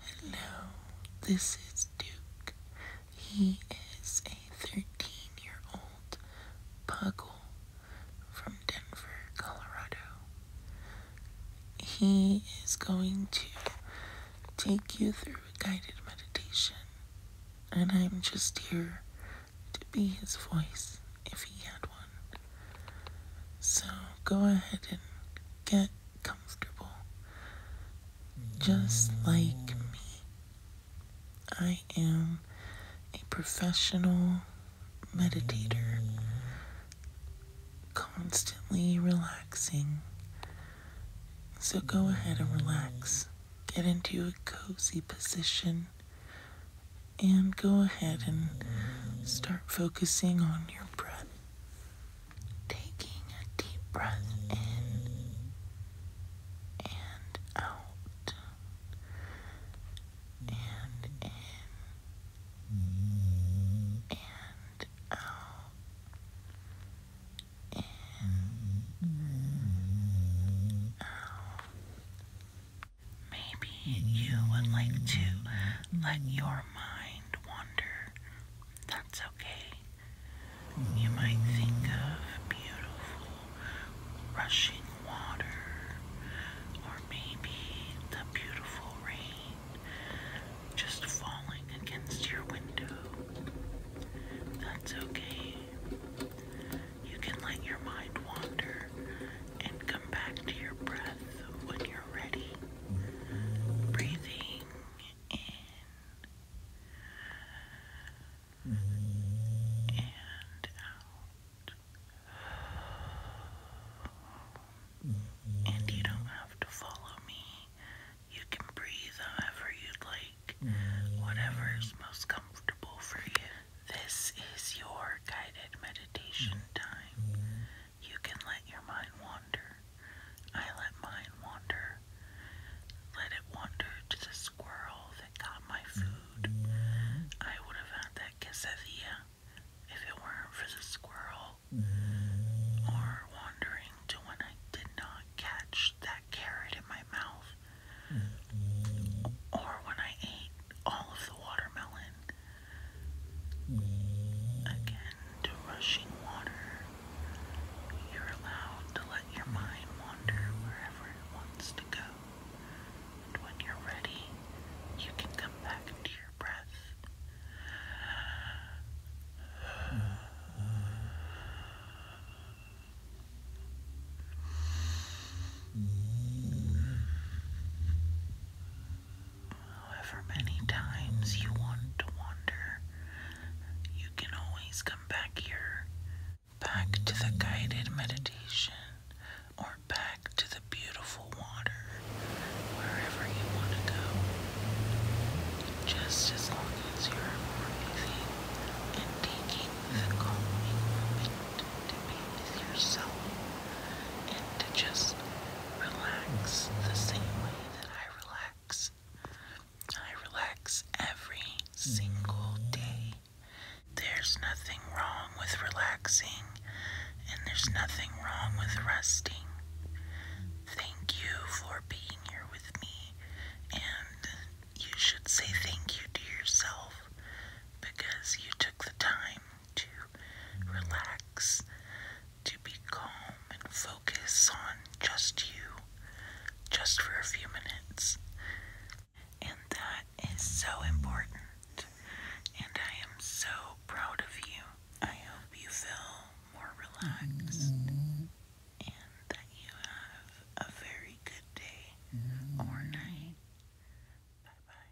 Hello, this is Duke. He is a 13 year old puggle from Denver, Colorado. He is going to take you through a guided meditation, and I'm just here to be his voice if he had one. So go ahead and get comfortable. Just like me, I am a professional meditator, constantly relaxing. So go ahead and relax. Get into a cozy position. And go ahead and start focusing on your breath. Taking a deep breath in and out. And in and out. In, out. Maybe you would like to let your mind wander. That's okay. You might think of beautiful rushing water, or maybe the beautiful rain just falling against your window. That's okay. You can let your mind wander and come back to your breath when you're ready. Breathing in and out. And you don't have to follow me. You can breathe however you'd like whatever is most comfortable for you. This is your guided meditation mm. time. Mm. You can let your mind wander. I let mine wander. Let it wander to the squirrel that got my food. Mm. I would have had that quesadilla if it weren't for the squirrel. Or wandering to when I did not catch that carrot in my mouth or when I ate all of the watermelon. Again, rushing water, you're allowed to let your mind wander wherever it wants to go. And when you're ready, you can come back to your breath. However many times you want to wander, you can always come back here, back to the guided meditation, or back to the beautiful water, wherever you want to go just as long as you are more and taking the calming moment to be with yourself and to just relax the same way that I relax. I relax every single day. There's nothing wrong with relaxing, and there's nothing wrong with resting. Thank you for being here with me, and you should say thank you to yourself because you took the time to relax, to be calm, and focus on just you, just for a few minutes. And that is so important, and I am so proud of you. I hope you feel more relaxed, and that you have a very good day mm-hmm. or night. Bye bye.